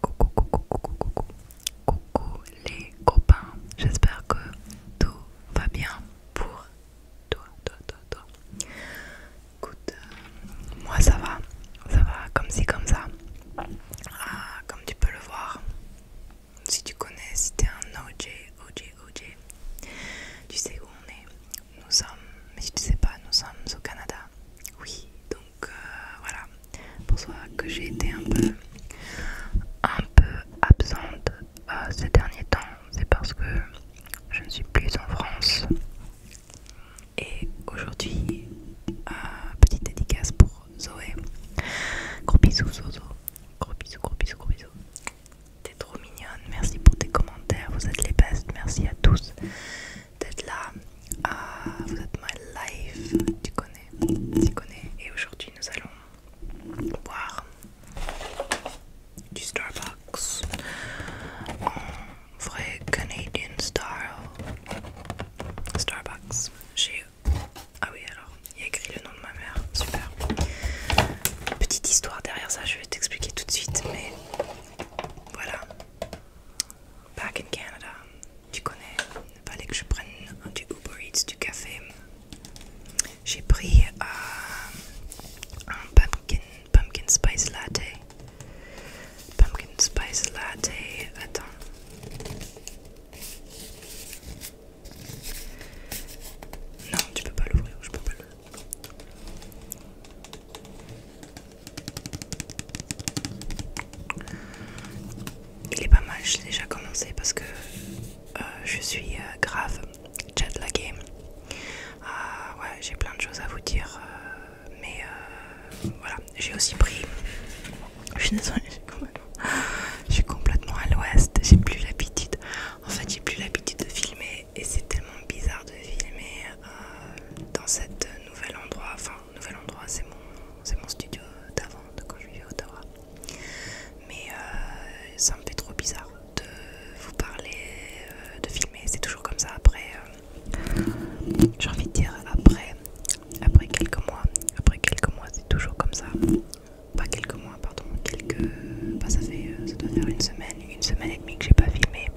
Coucou, coucou, coucou, coucou, coucou les copains, j'espère que tout va bien pour toi, toi, toi, toi. Écoute, euh, moi ça va, ça va comme si comme ça. Ah, comme tu peux le voir, si tu connais, si t'es un OJ, OJ, OJ, tu sais où on est. Nous sommes, mais si tu sais pas, nous sommes au Canada. Oui, donc donc euh, voilà pour ça que j'ai été un peu un peu absente euh, ces derniers temps c'est parce que je ne suis plus en France et aujourd'hui euh, petite dédicace pour Zoé gros bisous Zozo gros bisous gros bisous gros bisous t'es trop mignonne merci pour tes commentaires vous êtes les bestes merci à tous d'être là. Ah, vous êtes my life, tu connais, tu connais. Et aujourd'hui, nous allons boire du Starbucks en vrai Canadian style. Starbucks, j'ai. Ah oui, alors, il y a écrit le nom de ma mère, super. Petite histoire derrière ça, je vais t'expliquer tout de suite, mais voilà. Back in Canada, tu connais, il fallait que je prenne du Uber Eats, du café. J'ai pris euh, un pumpkin, pumpkin spice latte. Pumpkin spice latte, attends. Non, tu peux pas l'ouvrir, je peux pas l'ouvrir. Il est pas mal, j'ai déjà commencé parce que euh, je suis euh, grave chat la ah, ouais, j'ai plein de choses à vous dire, euh, mais voilà, j'ai aussi pris. Je suis désolée, je suis complètement à l'ouest, j'ai plus l'habitude. En fait, j'ai plus l'habitude de filmer et c'est tellement bizarre de filmer dans cet nouvel endroit nouvel endroit, c'est mon, mon studio d'avant, de quand je vivais à Ottawa. Mais euh, ça me fait trop bizarre de vous parler, euh, de filmer, c'est toujours comme ça après, euh, j'ai envie de dire après, après quelques mois, après quelques mois c'est toujours comme ça, pas quelques mois pardon, quelques, bah, ça fait, ça doit faire une semaine, une semaine et demie que j'ai pas filmé.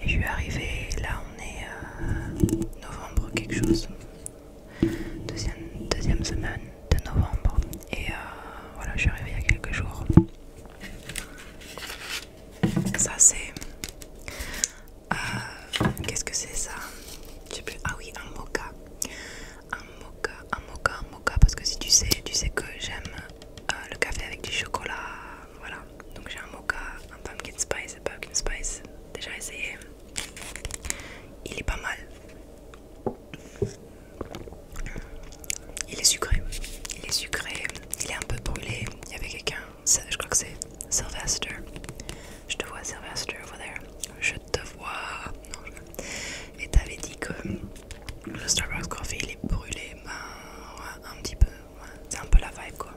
Et je suis arrivée là on est euh, novembre quelque chose, deuxième, semaine de novembre. Et euh, voilà, je suis arrivée il y a quelques jours. Ça c'est... Euh, qu'est-ce que c'est ça Ah oui, un mocha. Un mocha, un mocha, un mocha. Parce que si tu sais, tu sais que j'aime le café avec du chocolat. Voilà donc j'ai un mocha, un pumpkin spice, un pumpkin spice, déjà essayé. Il est pas mal. Il est sucré, il est sucré, il est un peu brûlé. Il y avait quelqu'un, je crois que c'est Sylvester. Je te vois, Sylvester, over there. Je te vois. Non, Et t'avais dit que le Starbucks Coffee il est brûlé, ben, un petit peu. C'est un peu la vibe quoi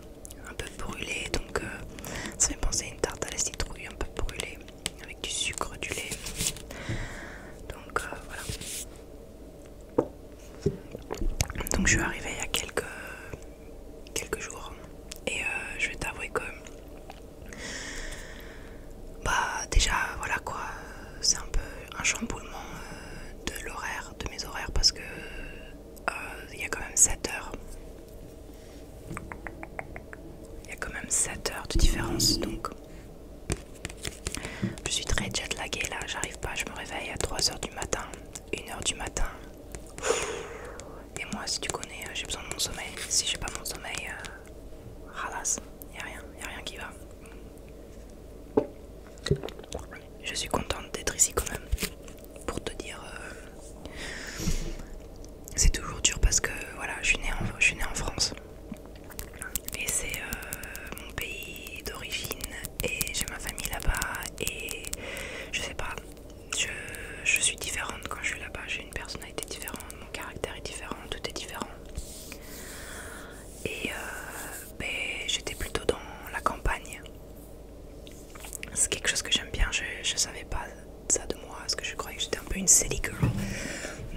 un peu brûlé donc euh, ça fait penser à une tarte à la citrouille un peu brûlée avec du sucre, du lait. Donc euh, voilà. Donc je suis arrivée il y a quelques, quelques jours et euh, je vais t'avouer que bah déjà voilà quoi, c'est un peu un chamboulement de l'horaire, de mes horaires parce que il y a quand même 7 heures il y a quand même 7 heures de différence donc je suis très jet laguée là, j'arrive pas, je me réveille à 3 heures du matin, 1h du matin. Et moi si tu connais, euh, j'ai besoin de mon sommeil. Si j'ai pas mon sommeil, halas, euh, il y a rien, y a rien qui va. Je suis contente d'être ici quand même pour te dire euh, c'est toujours dur parce que voilà je suis née en, je suis en France et c'est euh, mon pays d'origine et j'ai ma famille là-bas et je sais pas je, suis différente quand je suis là-bas j'ai une personnalité différente mon caractère est différent tout est différent et euh, ben, j'étais plutôt dans la campagne c'est quelque chose que j'aime bien, je, ne savais pas ça de moi, parce que je croyais que j'étais un peu une silly girl.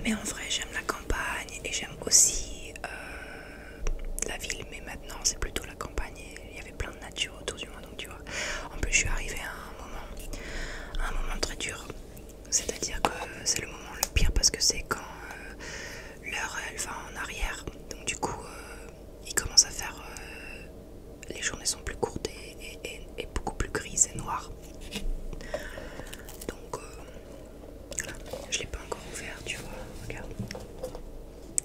Mais en vrai, j'aime la campagne et j'aime aussi euh, la ville, mais maintenant c'est plutôt la campagne. il y avait plein de nature autour du moi, donc tu vois. En plus, je suis arrivée à un moment, un moment très dur. C'est-à-dire que c'est le moment le pire parce que c'est quand euh, l'heure elle va en arrière. Donc du coup, euh, il commence à faire. Euh, les journées sont plus courtes et, beaucoup plus grises et noires. Donc, euh, je l'ai pas encore ouvert, tu vois. Regarde.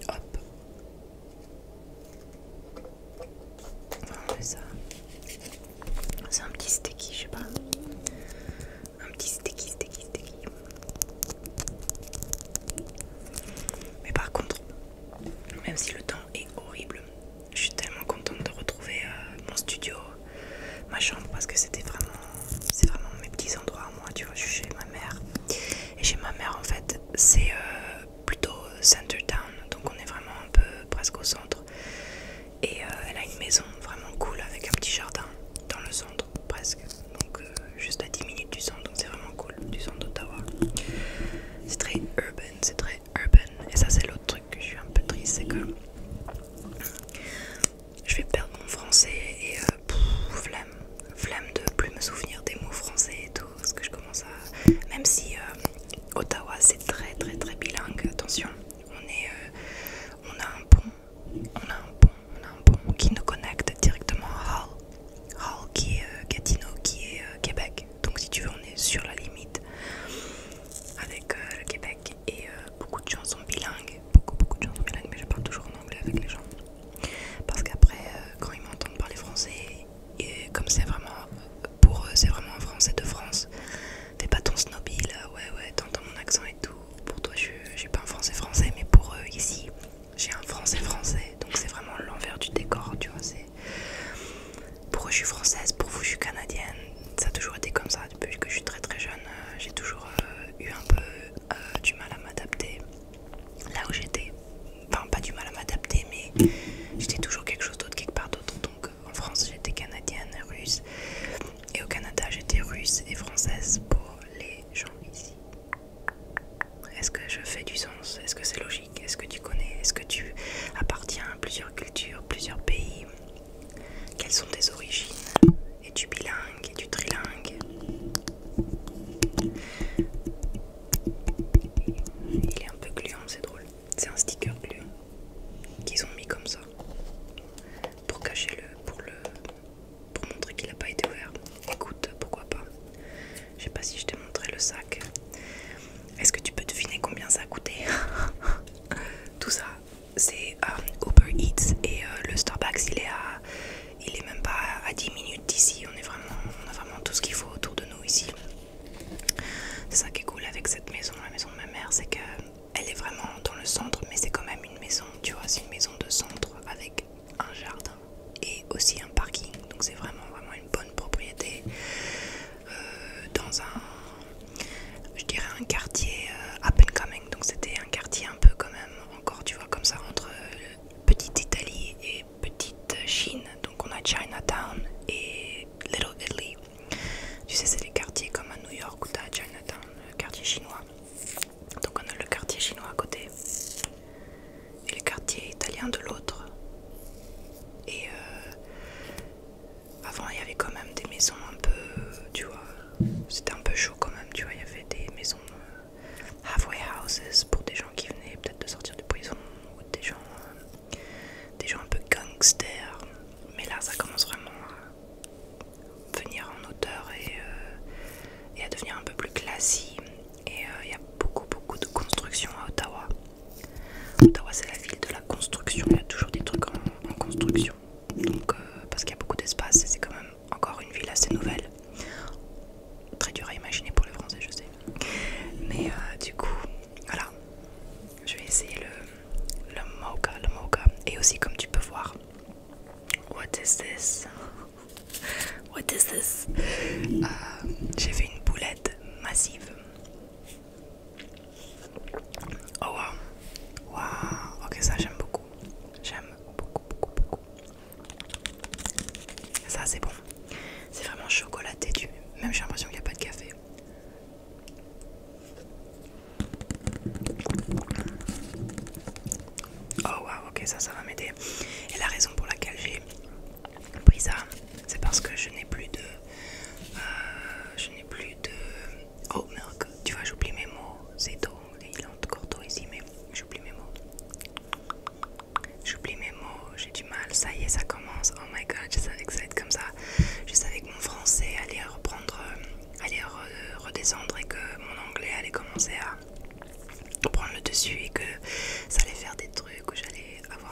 Hop. ça. C'est un petit sticky, je sais pas. Un petit sticky, sticky, sticky. Mais par contre, même si le temps et horrible. Je suis tellement contente de retrouver euh, mon studio, ma chambre parce que c'était vraiment, c'est vraiment mes petits endroits à moi. Tu vois, je suis chez ma mère et chez ma mère en fait c'est euh, plutôt center town, donc on est vraiment un peu presque au centre. Et euh, elle a une maison vraiment cool avec un petit jardin dans le centre presque, donc juste à 10 minutes du centre c'est vraiment cool du centre d'Ottawa. C'est très urban, c'est très urban. Et ça c'est l'autre truc que je suis un peu triste, c'est que je vais perdre mon français et euh, flemme, de plus me souvenir des mots français et tout, parce que je commence à... Même si euh, Ottawa c'est très très très bilingue, attention, on est... Euh, on a un pont, on a un pont, on a un pont qui nous connecte directement à Hull. Hall qui est Gatineau qui est euh, Québec. Donc si tu veux on est sur la limite avec euh, le Québec et euh, beaucoup de gens sont bilingues. Beaucoup beaucoup de sont bilingues mais je parle toujours en anglais avec les gens. Parce qu'après quand ils m'entendent parler français et comme c'est vraiment pour eux c'est vraiment un français de France. T'es pas ton snobby ouais ouais, t'entends mon accent et tout. Pour toi j'ai je suis pas un français français mais pour eux ici j'ai un français français donc c'est vraiment l'envers du décor, tu vois. Pour eux, je suis française, pour vous, je suis canadienne. Ça a toujours été comme ça depuis que je suis très très jeune. Euh, j'ai toujours euh, eu un peu euh, du mal à m'adapter là où j'étais. Enfin, pas du mal à m'adapter, mais j'étais toujours quelque chose d'autre, quelque part d'autre. Donc en France, j'étais canadienne, russe. Et au Canada, j'étais russe et française pour les gens ici. Est-ce que je fais du sens Est-ce que c'est logique Est-ce que tu connais Est-ce que tu appartiens à plusieurs cultures, plusieurs pays Quelles sont tes origines Et tu bilingue Es-tu trilingue Il est un peu gluant, c'est drôle. C'est un sticker gluant qu'ils ont mis comme ça pour cacher le, pour le, pour montrer qu'il n'a pas été ouvert. Écoute, pourquoi pas je sais pas si je t'ai montré le sac. Est-ce que tu peux deviner combien ça a coûté Tout ça, c'est euh, Uber Eats et euh, le Starbucks, il est, à, il est même pas à 10 minutes d'ici. On, est vraiment, on a vraiment tout ce qu'il faut autour de nous ici. C'est ça qui est cool avec cette maison, la maison de ma mère, c'est qu'elle est vraiment dans le centre, mais c'est quand même une maison, tu vois, c'est une maison de centre avec un jardin et aussi un parking. Donc c'est vraiment vraiment une bonne propriété euh, dans un, je dirais un quartier euh, up and coming. Donc c'était un quartier un peu quand même encore, tu vois, comme ça entre euh, petite Italie et petite Chine. Donc on a Chinatown et Little Italy. Tu sais, c'est les quartiers comme à New York où t'as Chinatown, le quartier chinois. Donc on a le quartier chinois à côté et le quartier italien de l'autre. Et euh, avant, il y avait quand même des maisons un peu, tu vois, c'était un peu chaud quand même, tu vois, il y avait des maisons euh, halfway houses pour des gens qui venaient peut-être de sortir de prison ou des gens, euh, des gens un peu gangsters. Mais là, ça commence vraiment à venir en hauteur et, et à devenir un peu plus classique et euh, il y a beaucoup, beaucoup de construction à Ottawa. Ottawa, c'est la ville de la construction. Il y a toujours des trucs en, construction. Donc, euh, parce qu'il y a beaucoup d'espace c'est quand même encore une ville assez nouvelle. Très dur à imaginer pour les Français, je sais. Mais euh, du coup, voilà. Je vais essayer le, le le mocha. Et aussi, comme tu peux voir, what is this? What is this? J'ai fait une boulette massive. Oh waouh wow, ok ça j'aime beaucoup, j'aime beaucoup beaucoup beaucoup. Ça c'est bon, c'est vraiment chocolaté du, même j'ai l'impression qu'il n'y a pas de café. Oh waouh ok ça ça va m'aider. Et la raison pour laquelle j'ai pris ça, c'est parce que je n'ai plus de... Euh, je n'ai plus de... Oh merde, tu vois j'oublie mes mots. C'est tôt, il est encore tôt ici mais j'oublie mes mots. J'oublie mes mots, j'ai du mal. Ça y est, ça commence. Oh my god, je savais que ça allait être comme ça. Je savais que mon français allait reprendre, euh, allait redescendre et que mon anglais allait commencer à prendre le dessus et que ça allait faire des trucs où j'allais avoir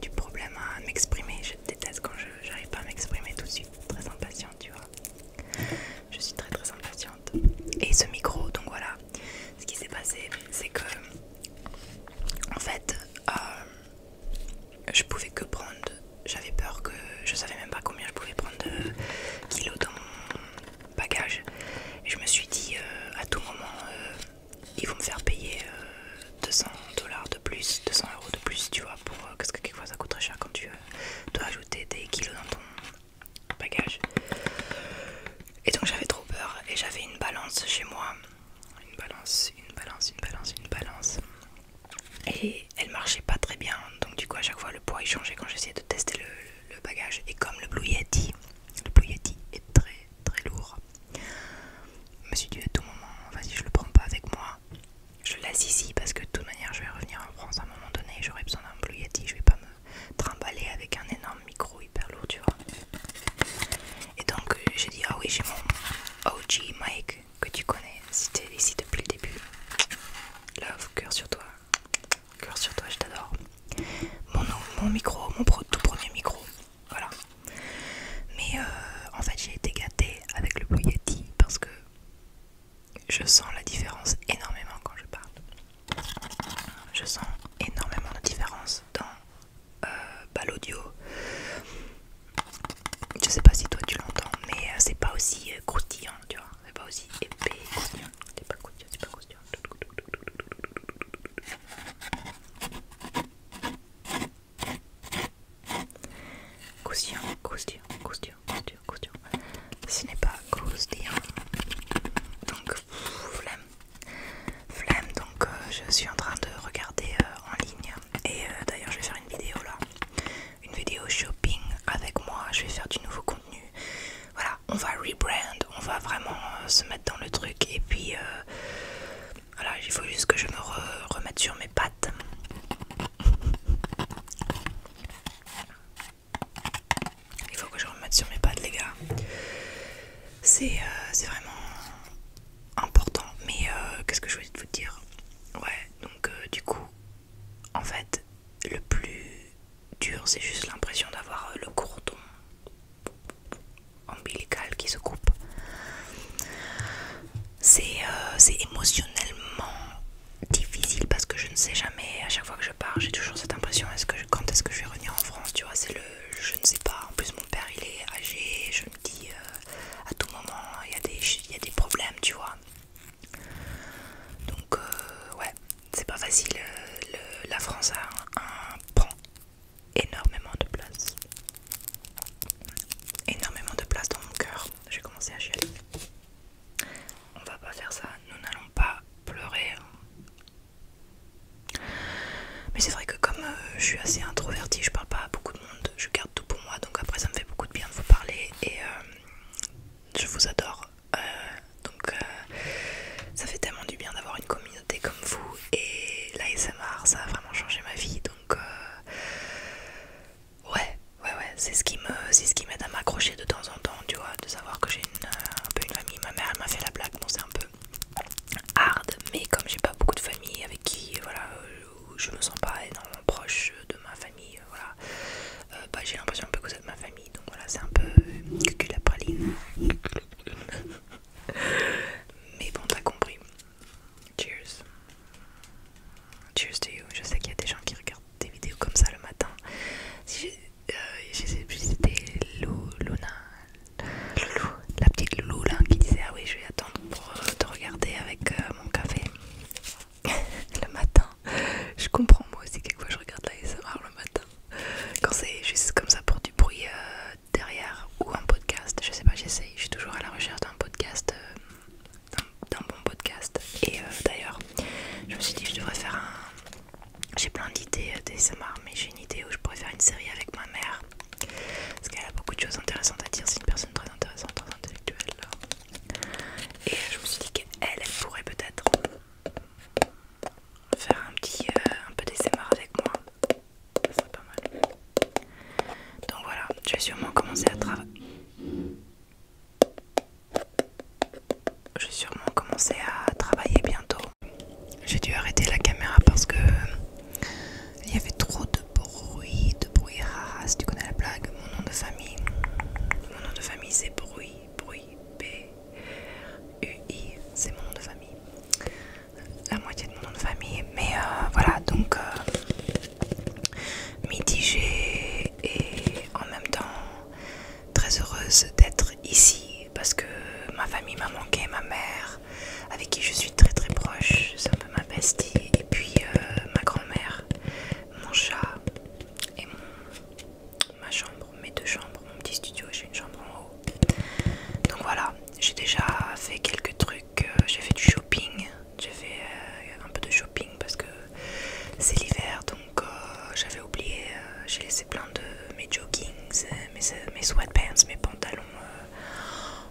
du problème à m'exprimer. Je déteste quand je n'arrive pas à m'exprimer tout de suite. Très impatiente, tu vois. Je suis très très impatiente. Et ce micro, donc voilà. Ce qui s'est passé, c'est que en fait, euh, je pouvais que prendre. J'avais peur que je savais même pas combien je pouvais prendre de kilos dans mon bagage. Et je me suis dit euh, à tout moment. Euh, ils vont me faire payer 200 euh, dollars de plus, 200 euros de plus, tu vois, pour, euh, parce que quelquefois ça coûte très cher quand tu euh, dois ajouter des kilos dans ton bagage. Et donc j'avais trop peur et j'avais une balance chez moi, une balance, une balance, une balance, une balance. Et elle marchait pas très bien, donc du coup à chaque fois le poids il changeait quand j'essayais de tester le, le bagage. Et comme le Blue Yeti, le Blue Yeti est très très lourd, je me suis dit à tout moment, vas-y, je le prends pas avec moi. Je le laisse ici parce que de toute manière, je vais revenir en France à un moment donné. J'aurai besoin d'un Blue Yeti. Je vais pas me trimballer avec un énorme micro hyper lourd, tu vois. Et donc, euh, j'ai dit, ah oui, j'ai mon OG Mike que tu connais. Si es ici depuis le début, love, cœur sur toi. Cœur sur toi, je t'adore. Mon, mon micro, mon tout premier micro. Voilà. Mais euh, en fait, j'ai été gâtée avec le Boyati parce que je sens la différence énormément quand je parle. Je sens énormément de différence dans euh, bah, l'audio. Je sais pas si toi tu l'entends, mais euh, c'est pas aussi croustillant, tu vois. C'est pas aussi épais. C'est pas croustillant, c'est pas croustillant. Cousillon, cousillon, cousillon, cousillon, Ce n'est pas cousillon. Donc, flemme. Flemme, donc euh, je suis en train de regarder euh, en ligne. Et euh, d'ailleurs, je vais faire une vidéo là. Une vidéo shopping avec moi. Je vais faire du nouveau contenu. Voilà, on va rebrand. On va vraiment se mettre dans le truc. Et puis, voilà, il faut juste que je me remette sur mes pattes. Il faut que je remette sur mes pattes, les gars. C'est euh, vraiment important. Mais euh, qu'est-ce que je voulais vous dire Ouais, donc euh, du coup, en fait, le plus dur, c'est juste l'impression d'avoir le cordon ombilical qui se coupe. Euh, c'est émotionnellement difficile parce que je ne sais jamais, à chaque fois que je pars, j'ai toujours cette impression, est que quand est-ce que je vais revenir en France, tu vois, c'est le, je ne sais pas, en plus mon père il est âgé, je me dis euh, à tout moment, il y, a des, problèmes, tu vois. Donc euh, ouais, c'est pas facile, la France a un, un pan énormément de place. Énormément de place dans mon cœur. J'ai commencé à chialer. On va pas faire ça, nous n'allons pas pleurer. Hein. Mais c'est vrai que comme euh, je suis assez introvertie, je parle pas à beaucoup de monde, je garde tout pour moi, donc après ça me fait beaucoup de bien de vous parler et euh, je vous adore. Euh, donc ça fait tellement du bien d'avoir une communauté comme vous et l'ASMR ça a vraiment changé ma vie donc euh, ouais ouais ouais c'est ce qui me c'est ce qui m'aide à m'accrocher de temps en temps tu vois de savoir que j'ai euh, un peu une famille ma mère elle m'a fait la blague bon c'est un peu hard mais comme j'ai pas beaucoup de famille avec qui voilà euh, je me sens pas énormément proche de ma famille voilà bah, j'ai l'impression un peu que vous êtes ma famille donc voilà c'est un peu cucula la praline Mais bon, t'as compris. Cheers. Cheers to you. Je sais qu'il y a des gens qui regardent des vidéos comme ça le matin. je, sais plus, c'était Luna, la petite Loulou qui disait Ah oui, je vais attendre pour euh, te regarder avec euh, mon café le matin. Je comprends moi aussi, quelquefois je regarde la SMR le matin. Quand c'est juste comme ça pour du bruit, euh, derrière ou un podcast, je sais pas, j'essaye, je suis toujours à la recherche d'un podcast, euh, d'un bon podcast. Et euh, d'ailleurs, je me suis dit, je devrais faire un. J'ai plein d'idées euh, d'ASMR, mais j'ai une idée où je pourrais faire une série avec ma mère parce qu'elle a beaucoup de choses intéressantes à dire. C'est une personne très intéressante, très intellectuelle. Et je me suis dit qu'elle, pourrait peut-être faire un petit un peu d'ASMR avec moi pas mal. Donc voilà, je vais sûrement commencer à travailler. Je vais sûrement commencer à travailler bientôt. J'ai dû arrêter la caméra parce que euh, il y avait trop de bruit, de bruit ras, tu connais la blague, mon nom de famille. Mon nom de famille c'est bruit, bruit, B U I, c'est mon nom de famille la moitié de mon nom de famille. Mais euh, voilà, donc euh, mitigée et en même temps très heureuse d'être ici parce que ma famille m'a manqué, ma mère avec qui je suis très très proche, ça un ma bestie, et puis euh, ma grand-mère, mon chat et ma chambre, mes deux chambres, mon petit studio, j'ai une chambre en haut. Donc voilà, j'ai déjà fait quelques trucs euh, j'ai fait du shopping, j'ai fait euh, un peu de shopping parce que c'est l'hiver donc euh, j'avais oublié, j'ai laissé plein de mes joggings, mes, sweatpants, mes pantalons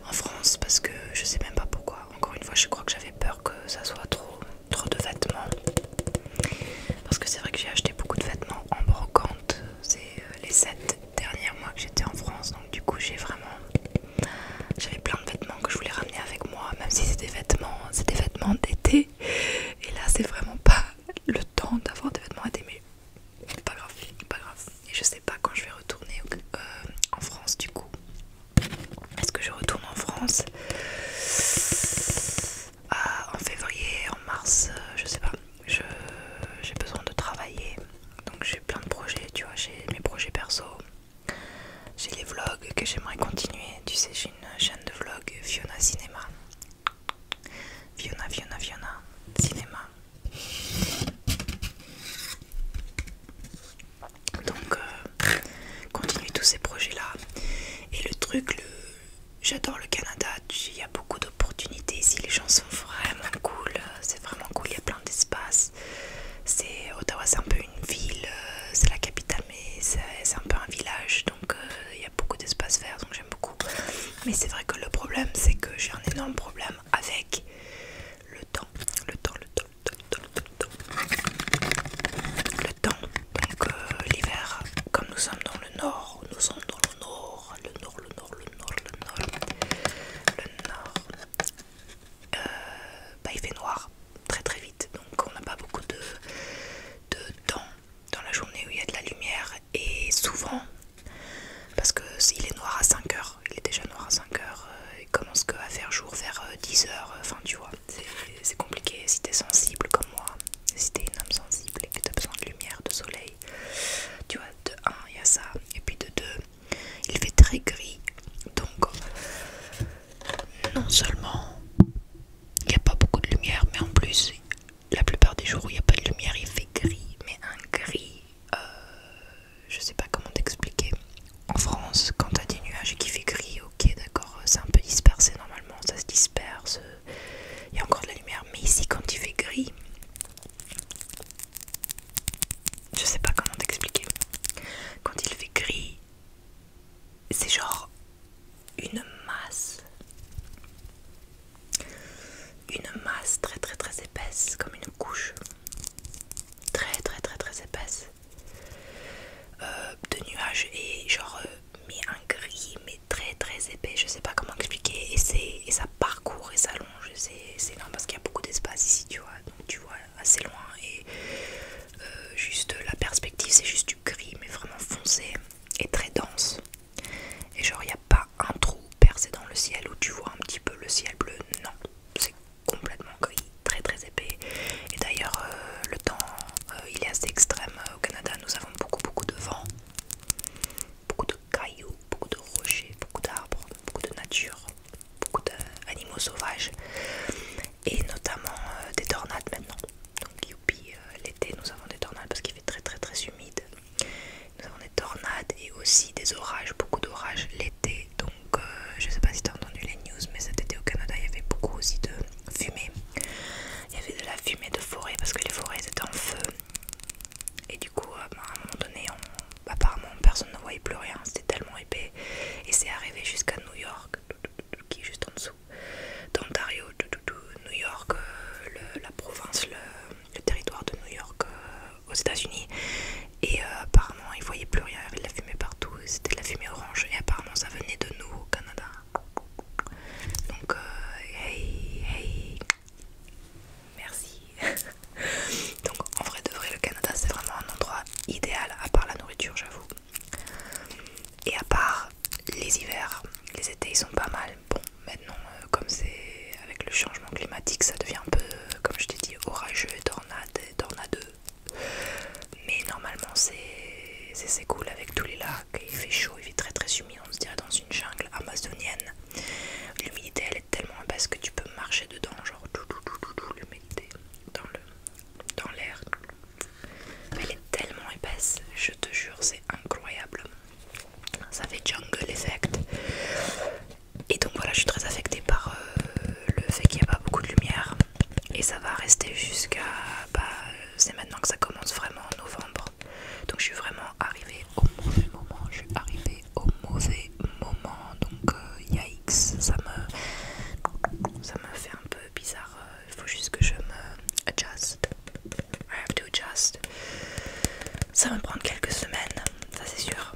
en France parce que je sais même pas pourquoi. Encore une fois, je crois que j'avais peur que ça soit trop, trop de vêtements parce que c'est vrai que j'ai acheté beaucoup de vêtements en brocante, c'est les 7 dernière mois que j'étais en France, donc du coup j'ai vraiment, j'avais plein de vêtements que je voulais ramener avec moi, même si c'est des vêtements, c'est vêtements d'été. Et là c'est vraiment pas le temps d'avoir des vêtements d'été, mais pas grave, pas grave. Et je sais pas quand je vais retourner euh, en France du coup. Est-ce que je retourne en France euh, en février, en mars, euh, je sais pas j'ai besoin de travailler. Donc j'ai plein de projets, tu vois, j'ai mes projets perso. J'ai les vlogs que j'aimerais continuer. Tu sais, j'ai une chaîne de vlogs Fiona Cinéma. Fiona, Fiona, Fiona, Cinéma. Donc, euh, Continuer tous ces projets-là. Et le truc, le... j'adore le Canada. Il y a beaucoup d'opportunités ici. Les gens sont vraiment cool. Euh, c'est vraiment cool d'espace. C'est Ottawa, c'est un peu une ville, euh, c'est la capitale, mais c'est un peu un village, donc euh, il y a beaucoup d'espace vert, donc j'aime beaucoup. Mais c'est vrai que le problème, c'est que j'ai un énorme problème avec le temps, le temps, le temps, le temps, le temps, le temps. Donc euh, l'hiver, comme nous sommes dans le nord, nous sommes dans le nord, le nord, le nord, le nord, le nord, le nord, euh, bah, il fait noir très très vite, donc on n'a pas beaucoup de, temps dans la journée où il y a de la lumière et souvent parce que s'il est noir à 5 heures, il est déjà noir à 5 heures, euh, il commence que à faire jour vers 10 euh, h enfin tu vois, c'est compliqué si t'es sensible comme moi, si t'es une âme sensible et que t'as besoin de lumière, de soleil, tu vois, de 1 il y a ça, et puis de 2 il fait très gris, donc non seulement il n'y a pas beaucoup de lumière, mais en plus la plupart des jours où il n'y a pas de lumière, il fait gris, mais un gris, euh, je sais pas comment t'expliquer. En France, quand as des nuages et qu'il fait gris, ok, d'accord, c'est un peu dispersé normalement, ça se disperse, il y a encore de la lumière, mais ici quand il fait gris, je sais pas comment t'expliquer. Quand il fait gris, c'est genre une masse. Une masse très très très épaisse, comme une couche. Très très très très épaisse. Euh, de nuages et genre euh, un gris mais très très épais je sais pas comment expliquer et, et ça parcourt et ça c'est énorme parce qu'il y a beaucoup d'espace ici, tu vois, donc tu vois assez loin et euh, juste la perspective, c'est juste du gris, mais vraiment foncé et très dense. Et genre, il n'y a pas un trou percé dans le ciel où tu vois un petit peu le ciel bleu, non, c'est complètement gris, très très épais. Et d'ailleurs, euh, le temps, euh, il est assez extrême au Canada, nous avons beaucoup beaucoup de vent beaucoup de cailloux, beaucoup de rochers, beaucoup d'arbres, beaucoup de nature, beaucoup d'animaux sauvages et notamment euh, des tornades maintenant. Donc youpi, euh, l'été nous avons des tornades parce qu'il fait très très très humide. Nous avons des tornades et aussi des orages, beaucoup d'orages l'été. Donc je euh, je sais pas si tu as entendu les news mais cet été au Canada il y avait beaucoup aussi de fumée. Il y avait de la fumée de forêt parce que les forêts étaient en feu. Et du coup, bah, à un moment donné, apparemment personne ne voyait plus rien, c'était tellement épais. Et c'est arrivé jusqu'à New York, qui est juste en dessous. D'Ontario, New York, euh, la province, le, territoire de New York euh, aux États-Unis. Et euh, apparemment, ils voyaient plus rien, il y avait de la fumée partout, c'était de la fumée orange. Et apparemment, ça venait de nous au Canada. Donc, hey, Merci. Donc en vrai de vrai le Canada c'est vraiment un endroit idéal à part la nourriture j'avoue. Et à part les hivers, les étés ils sont pas mal. Bon maintenant euh, comme c'est avec le changement climatique ça devient un peu euh, comme je t'ai dit orageux tornade et tornadeux. Mais normalement c'est cool avec tous les lacs, il fait chaud, il fait très très humide, on se dirait dans une jungle amazonienne. L'humidité elle est tellement épaisse que tu peux marcher dedans, genre tout, tout, tout, tout, l'humidité dans l'air. Elle est tellement épaisse, je te jure, c'est incroyable. Ça fait jungle effect. Et donc voilà, je suis très affectée par euh, le fait qu'il n'y a pas beaucoup de lumière. Et ça va rester jusqu'à... Bah, c'est maintenant que ça commence vraiment en novembre. Donc je suis vraiment arrivée au mauvais moment. Je suis arrivée au mauvais moment donc euh, y'a yikes ça me ça me fait un peu bizarre euh, il faut juste que je me adjust I have to adjust ça va me prendre quelques semaines ça c'est sûr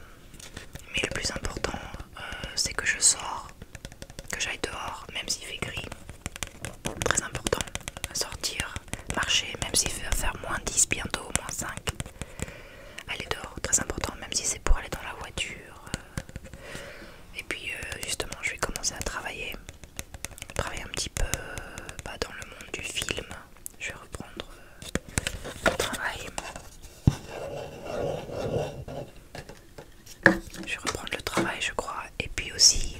mais le plus important euh, c'est que je sors que j'aille dehors même s'il fait gris très important sortir marcher même s'il fait faire moins 10 bientôt moins 5 aller dehors, très important, même si c'est pour aller dans la voiture. Euh, et puis euh, justement, je vais commencer à travailler, travailler un petit peu euh, bah, dans le monde du film. Je vais reprendre le travail. Je vais reprendre le travail, je crois, et puis aussi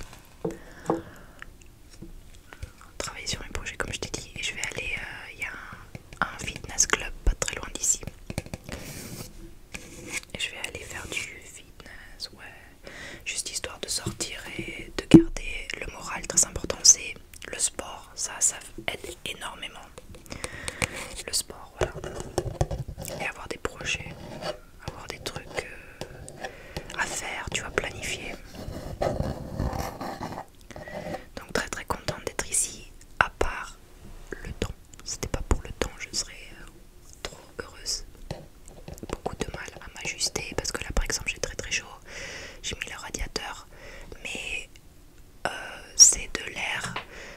travailler sur mes projets, comme je t'ai dit. Et je vais aller, il y a un un fitness club pas très loin d'ici. Je vais aller faire du fitness, ouais. Juste histoire de sortir et de garder le moral très important. C'est le sport, ça, ça aide énormément. Le sport, voilà. Et avoir des projets, avoir des trucs euh, à faire, tu vois, planifier. Donc très très contente d'être ici, à part le temps. C'était pas pour le temps, je serais euh, trop heureuse. Beaucoup de mal à m'ajuster parce que là par exemple j'ai très très chaud, j'ai mis le radiateur, mais euh, c'est de l'air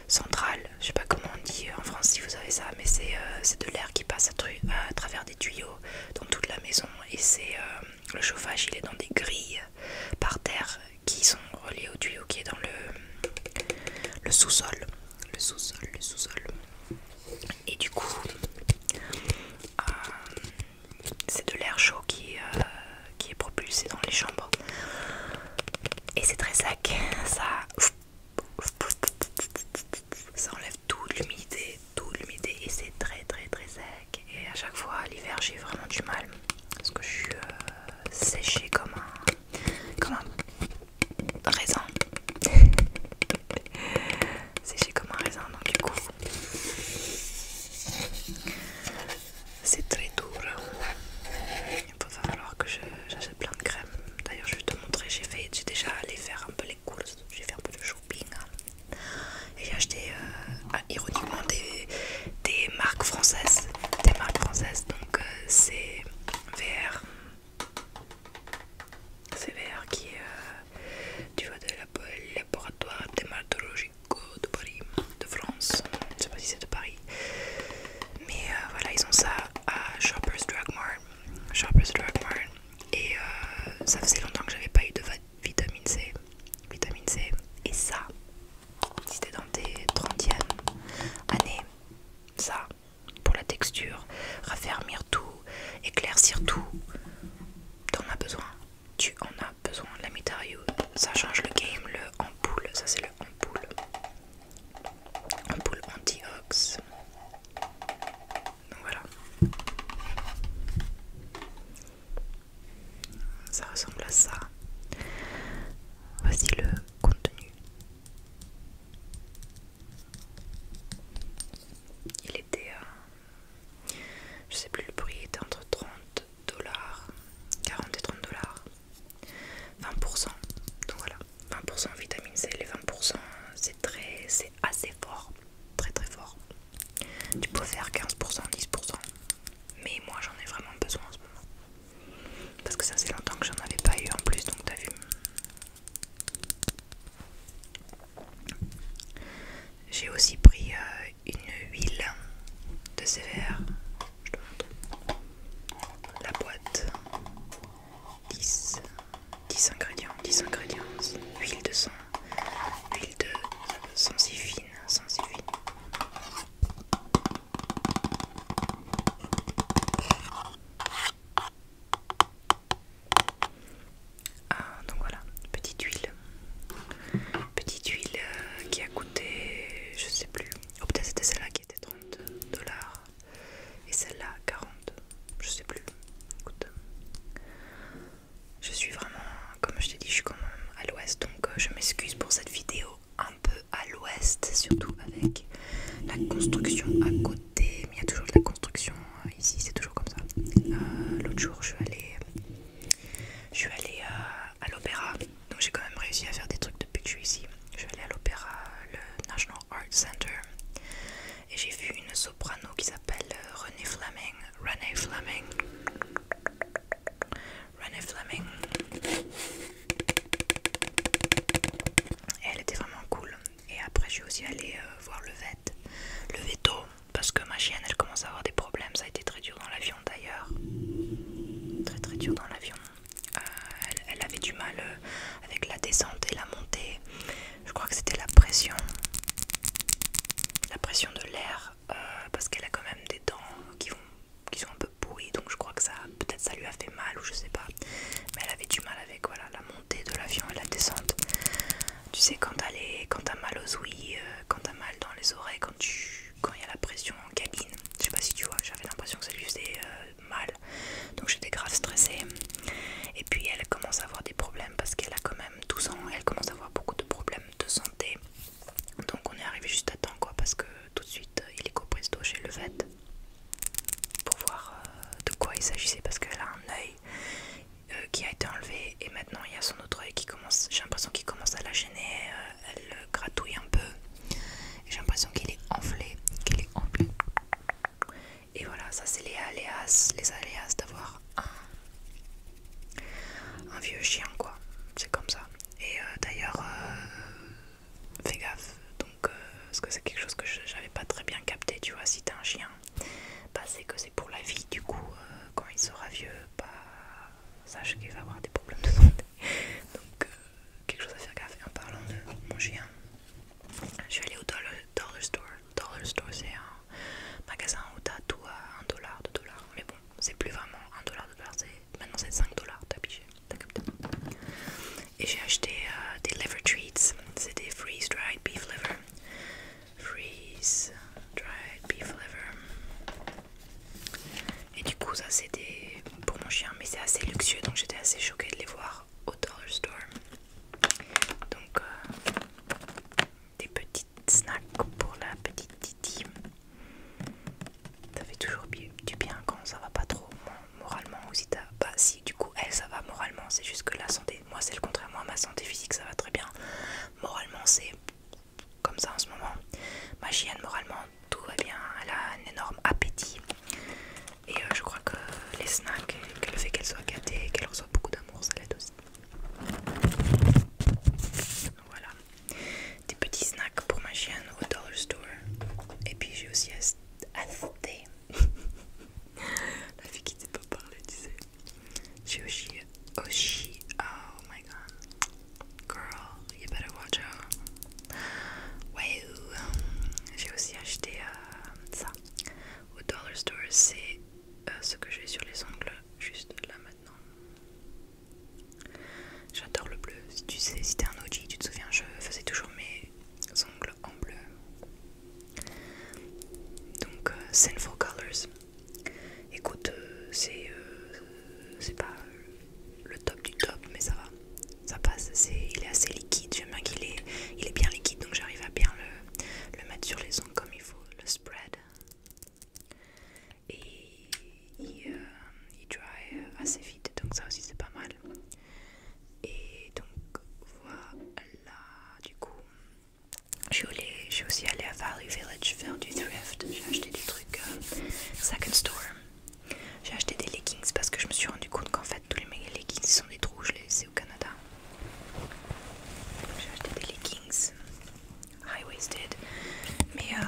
central, je sais pas comment on dit en France si vous avez ça, mais euh, c'est de l'air qui passe à, travers des tuyaux dans toute la maison et c'est le chauffage il est dans des grilles par terre qui sont reliés au tuyau qui est dans le sous-sol. Le sous-sol, le sous-sol. Et du coup, euh, c'est de l'air chaud qui, euh, qui est propulsé dans les chambres. Et c'est très sec. Ça, ça enlève l'humidité, toute l'humidité. Et c'est très très très sec et à chaque fois l'hiver j'ai vraiment du mal parce que je suis euh, séchée comme un, comme un raisin séchée comme un raisin donc du coup c'est très dur il va falloir que j'achète plein de crèmes d'ailleurs je vais te montrer j'ai fait j'ai déjà allé faire un peu les courses j'ai fait un peu de shopping et hein. j'ai acheté euh, ah, ironiquement des, marques françaises des marques françaises donc euh, c'est VR c'est VR qui est du euh, vois, de laboratoire Dématologique de Paris de France je sais pas si c'est de Paris mais euh, voilà ils ont ça à Shoppers Drug Mart Shoppers Drug Mart et ça faisait longtemps que j'avais pas eu de vitamine C vitamine C. Et ça, si t'es dans tes 30e années, ça, pour la texture, raffermir tout, éclaircir tout, t'en as besoin. Tu en as besoin. La Mitario, ça change le game. Le ampoule, ça c'est le ampoule. Ampoule anti-ox. voilà. Ça ressemble à ça. Voici le contenu. Il était euh, je sais plus le prix, il était entre 30 dollars, 40 et 30 dollars. 20%. Donc voilà, 20% vitamine C, les 20% c'est très c'est assez fort, très très fort. Tu peux faire 15%, 10% mais moi j'en ai vraiment besoin en ce moment parce que ça c'est longtemps que j'en avais pas eu en plus donc t'as vu j'ai aussi pris euh, une huile de sévère. je te montre la boîte 10 10 ingrédients 10 ingrédients huile de sang huile de euh, si fine ah, donc voilà, petite huile. Petite huile euh, qui a coûté, je sais plus. ou oh peut-être c'était celle-là qui était 30 dollars et celle-là 40. Je sais plus. Écoute, je suis vraiment comme je te dis, je suis quand même à l'ouest, donc euh, je m'excuse pour cette vidéo un peu à l'ouest, surtout avec la construction à côté. Mais il y a toujours de la construction euh, ici, c'est toujours comme ça. Euh, l'autre jour, je suis allée, je suis à, l'opéra, donc j'ai quand même réussi à faire des trucs depuis que je suis ici. Je suis allée à l'opéra, le National Art Center, et j'ai vu une soprano qui s'appelle Renée Fleming. Renée Fleming. Renée Fleming. Et elle était vraiment cool. Et après, je suis aussi allée euh, voir le vet, le veto, parce que ma chienne elle commence à avoir des problèmes. Ça a été très dur dans l'avion d'ailleurs. Très très dur dans l'avion. Euh, elle, avait du mal euh, avec la descente et la montée. Je crois que c'était la pression, la pression de l'air, parce qu'elle a quand même des dents qui vont qui sont un peu pourris donc je crois que ça peut-être ça lui a fait mal ou je sais pas mais elle avait du mal avec voilà la montée de l'avion et la descente tu sais quand t'as mal aux ouïes euh, quand t'as mal dans les oreilles quand tu quand il y a la pression en cabine je sais pas si tu vois j'avais l'impression que ça lui faisait euh, mal donc j'étais grave stressée et puis elle commence à avoir des problèmes parce qu'elle a quand même 12 ans elle commence à avoir beaucoup de problèmes de santé donc on est arrivé juste à temps quoi parce que tout de suite euh, il est copresto chez le vet pour voir euh, de quoi il s'agissait parce qu'elle a un œil euh, qui a été enlevé et maintenant il y a son autre œil qui commence, j'ai l'impression qu'il commence à la gêner, elle gratouille un peu et j'ai l'impression qu'il est enflé, qu'il est enflé. Et voilà, ça c'est les aléas, les aléas d'avoir un vieux chien quoi, c'est comme ça. Et euh, d'ailleurs, euh, fais gaffe. Donc, euh, parce que c'est quelque chose que j'avais pas très bien capté, tu vois. Si t'as un chien, pas bah, c'est que c'est pour la vie. Du coup, quand il sera vieux, bah, sache qu'il va avoir des problèmes de santé. Donc, quelque chose à faire gaffe. en parlant de mon chien, je suis allée au Dollar, Store. Dollar Store, c'est un magasin où t'as tout à 1$, 2$. Mais bon, c'est plus vraiment 1$, 2$, Maintenant c'est 5 dollars, t'as pigé, t'as capté. Et j'ai acheté euh, des liver treats, c'était freeze dried beef liver. Freeze dried beef liver. Et du coup ça c'était pour mon chien, mais c'est assez luxueux donc j'étais assez choquée de les voir au dollar store. Donc euh, des petites snacks pour la petite Titi. Ça fait toujours du bien quand ça va pas trop moralement ou si t'as. pas bah, si du coup elle ça va moralement, c'est juste que la santé, moi c'est le contraire, moi ma santé physique ça va très bien. Moralement c'est comme ça en ce moment. Ma chienne moralement tout va bien, elle a un énorme appétit. Et euh, je crois que les snacks, que le fait qu'elle soit gâtée, qu'elle reçoive beaucoup d'amour, ça l'aide aussi. Voilà. Des petits snacks pour ma chienne au Dollar Store. Et puis j'ai aussi acheté. La fille qui ne sait pas parler, tu sais. J'ai aussi. Oh my god. Girl, you better watch out. Wow. Euh, j'ai aussi acheté euh, ça. Au Dollar Store, c'est euh, ce que j'ai sur les ongles. Juste là maintenant. J'adore le bleu. Si tu sais, si t'es un OG, tu te souviens, je faisais toujours mes ongles en bleu. Donc, euh, Colors. Écoute, euh, euh, c'est pas le top du top, mais ça va. Ça passe. il est assez liquide. J'aime bien qu'il est, il est bien liquide, donc j'arrive à bien le, le mettre sur les ongles comme il faut. Le spread et il, euh, dry euh, assez vite donc ça aussi c'est pas mal et donc voilà du coup je suis, aussi allée à Valley Village faire du thrift j'ai acheté des trucs euh, second store j'ai acheté des leggings parce que je me suis rendu compte qu'en fait tous les leggings sont des trous je les ai au Canada j'ai acheté des leggings high waisted mais euh,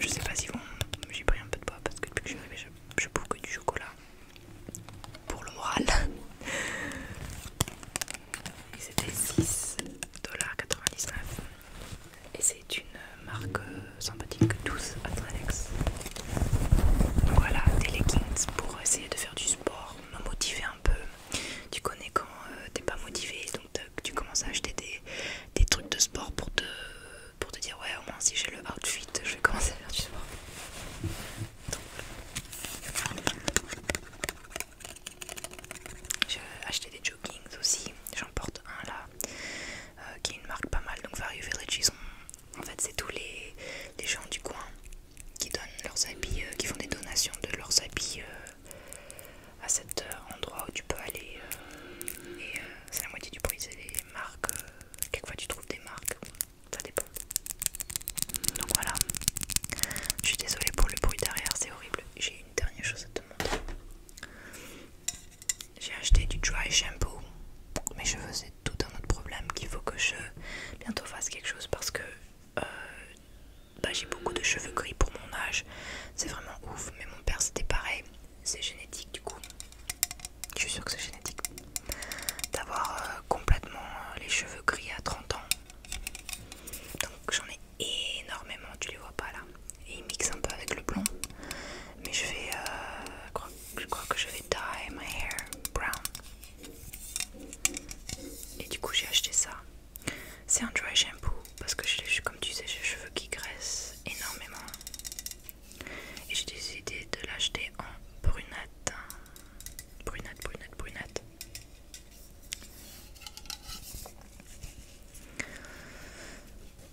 je sais pas si vont j'ai pris un peu de poids parce que depuis que je suis je, que du chocolat pour le moral et c'était 6,99$ et c'est une marque euh, sympathique 12 Atranex donc voilà des leggings pour essayer de faire du sport me motiver un peu tu connais quand euh, t'es pas motivé donc que tu commences à acheter des, trucs de sport pour te, pour te dire ouais au moins si j'ai le outfit je vais commencer à faire du sport. J'ai acheté des joggings aussi, j'en porte un là euh, qui est une marque pas mal donc Vario Village ils en fait c'est tous les, les gens du coin qui donnent leurs habits, euh, qui font des donations de leurs habits euh, à cet euh, endroit où tu peux aller euh, et euh, c'est la moitié du bruit c'est les marques, quelquefois tu trouves des marques, ça dépend. Donc voilà, je suis désolée pour le bruit derrière, c'est horrible. J'ai une dernière chose à te montrer. J'ai acheté du dry shampoo, mes cheveux c'est tout un autre problème qu'il faut que je bientôt fasse quelque chose parce que bah, j'ai beaucoup de cheveux gris pour mon âge, c'est vraiment ouf, mais mon père c'était pareil c'est génétique du coup. Je suis sûre que c'est génétique. D'avoir euh, complètement euh, les cheveux gris à 30 ans. Donc j'en ai énormément, tu les vois pas là. Et ils mixent un peu avec le blond. Mais je vais... Euh, je crois que je vais dye my hair brown. Et du coup j'ai acheté ça. C'est un dry shampoo parce que je, comme tu sais j'ai les cheveux qui graissent énormément et j'ai décidé de l'acheter en brunette. Brunette, brunette, brunette.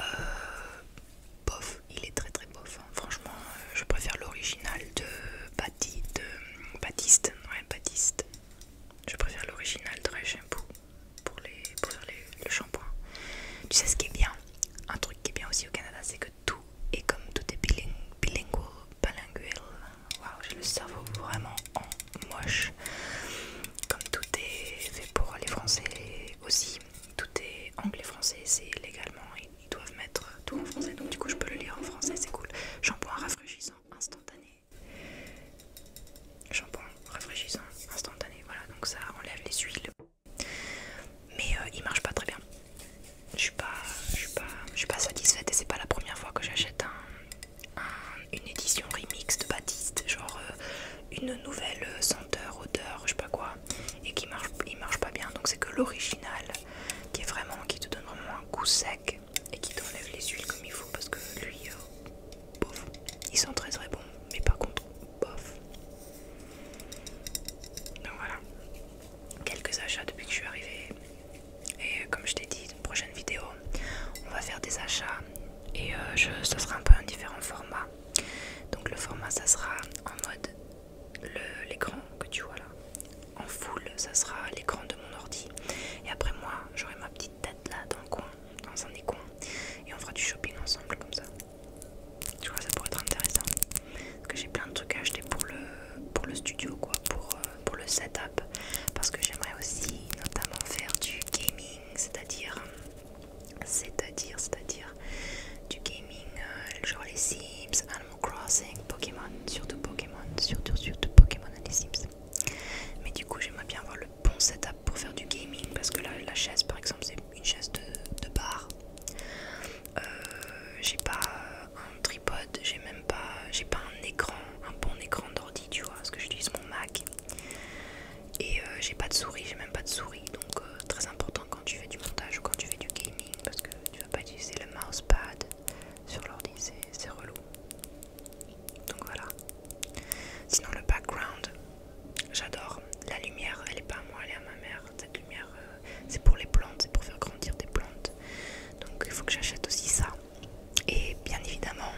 euh, il est très très bof hein. franchement euh, je préfère l'original de, Baptiste Baptiste je préfère l'original de Réchimpou pour, les, le shampoing. Tu sais ce qui est bien Un truc qui est bien aussi au Canada, c'est que tout est comme tout est bilingue, bilingual, bilingual. Waouh, j'ai le cerveau vraiment en moche. Comme tout est fait pour les Français aussi, tout est anglais-français, c'est légalement, ils doivent mettre tout en français, donc du coup je peux le lire en français, c'est cool. Shampoing rafraîchissant instantané shampoing rafraîchissant instantané, voilà donc ça enlève les huiles. Mais euh, il marche pas très bien. Je suis pas, suis pas, satisfaite et c'est pas la première fois que j'achète une édition remix de Baptiste, genre euh, une nouvelle euh, senteur, odeur, je sais pas quoi, et qui marche, il marche pas bien. Donc c'est que l'original qui est vraiment, qui te donne vraiment un goût sec et qui t'enlève les huiles comme il faut parce que lui, ils sont très très bons, mais pas contre, bof. voilà, quelques achats depuis que je suis arrivée. Et euh, comme je t'ai dit, une prochaine vidéo, on va faire des achats et euh, ça sera un peu un différent format. Donc le format, ça sera en mode l'écran que tu vois là. En full, ça sera l'écran de mon ordi. Et après moi, j'aurai ma petite tête là dans le coin, dans un des Et on fera du shopping ensemble comme ça. Je crois que ça pourrait être intéressant. Parce que j'ai plein de trucs à acheter pour le, pour le studio, quoi, pour, euh, pour le setup. Parce que j'aimerais aussi notamment faire du gaming, c'est-à-dire, c'est-à-dire, c'est-à-dire du gaming, euh, genre les Sims, Animal Crossing, Pokémon, surtout Pokémon, surtout, surtout Pokémon et les Sims. Mais du coup, j'aimerais bien voir le bon setup pour faire du gaming parce que la chaise par exemple c'est une chaise de, bar euh, j'ai pas un tripod, j'ai même pas un écran un bon écran d'ordi tu vois parce que j'utilise mon Mac et euh, j'ai pas de souris j'ai même pas de souris donc euh, très important quand tu fais du montage ou quand tu fais du gaming parce que tu vas pas utiliser le mousepad sur l'ordi c'est relou donc voilà Sinon le background, j'adore. La lumière, elle est pas à moi, elle est à ma mère. Cette lumière, euh, c'est pour les plantes, c'est pour faire grandir des plantes. Donc il faut que j'achète aussi ça. Et bien évidemment,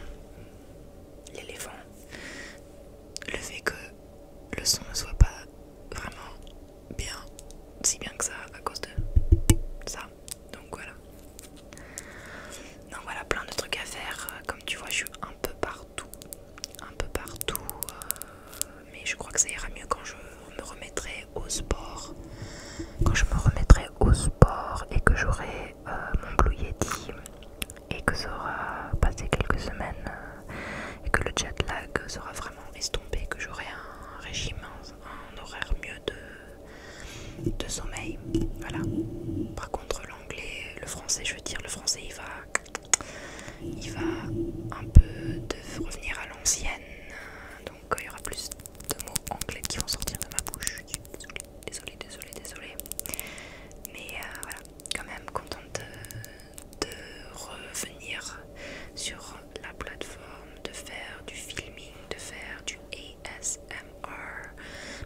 l'éléphant. Le fait que le son ne soit pas vraiment bien, si bien que ça, à cause de ça. Donc voilà. Donc voilà, plein de trucs à faire. Comme tu vois, je suis un peu partout un peu partout. Euh, mais je crois que ça ira mieux quand je me remettrai au sport. Quand je me remettrai au sport et que j'aurai euh, mon Blue Yeti et que ça aura passé quelques semaines euh, et que le jet lag sera vraiment estompé, que j'aurai un régime, un, horaire mieux de, de sommeil. Voilà. Par contre l'anglais, le français, je veux dire, le français il va il va un peu de revenir à l'ancienne, donc euh, il y aura plus de mots anglais qui vont sortir de ma bouche. Désolée, désolée, désolée. Mais euh, voilà, quand même contente de, euh, de revenir sur la plateforme, de faire du filming, de faire du ASMR,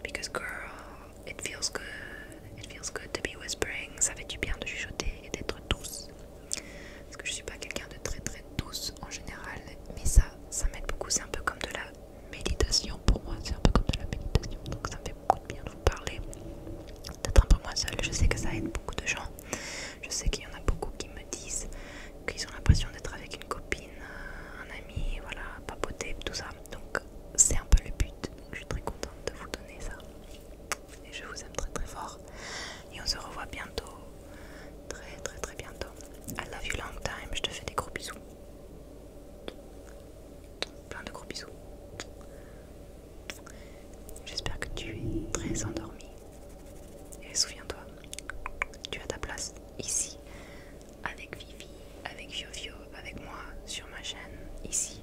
because girl, It feels good, it feels good to be whispering. Ça fait du bien de chuchoter et d'être douce. Parce que je suis pas quelqu'un de très très douce en général, mais ça, ça m'aide beaucoup. C'est un peu comme de la méditation pour moi. C'est un peu comme de la méditation, donc ça me fait beaucoup de bien de vous parler. D'être un peu moi seule. Je sais que ça aide beaucoup de gens. Je sais qu'il y en a beaucoup qui me disent qu'ils ont l'impression d'être avec une copine, un ami, voilà, papoter, tout ça. Donc c'est un peu le but je suis très contente de vous donner ça. Et je vous aime très très fort. Et on se revoit bientôt. Très très très bientôt. I love you long time. Je te fais des gros bisous. Plein de gros bisous. J'espère que tu es très endormi. Et souviens-toi, tu as ta place ici, avec Vivi, avec Fiofio, avec moi, sur ma chaîne, ici,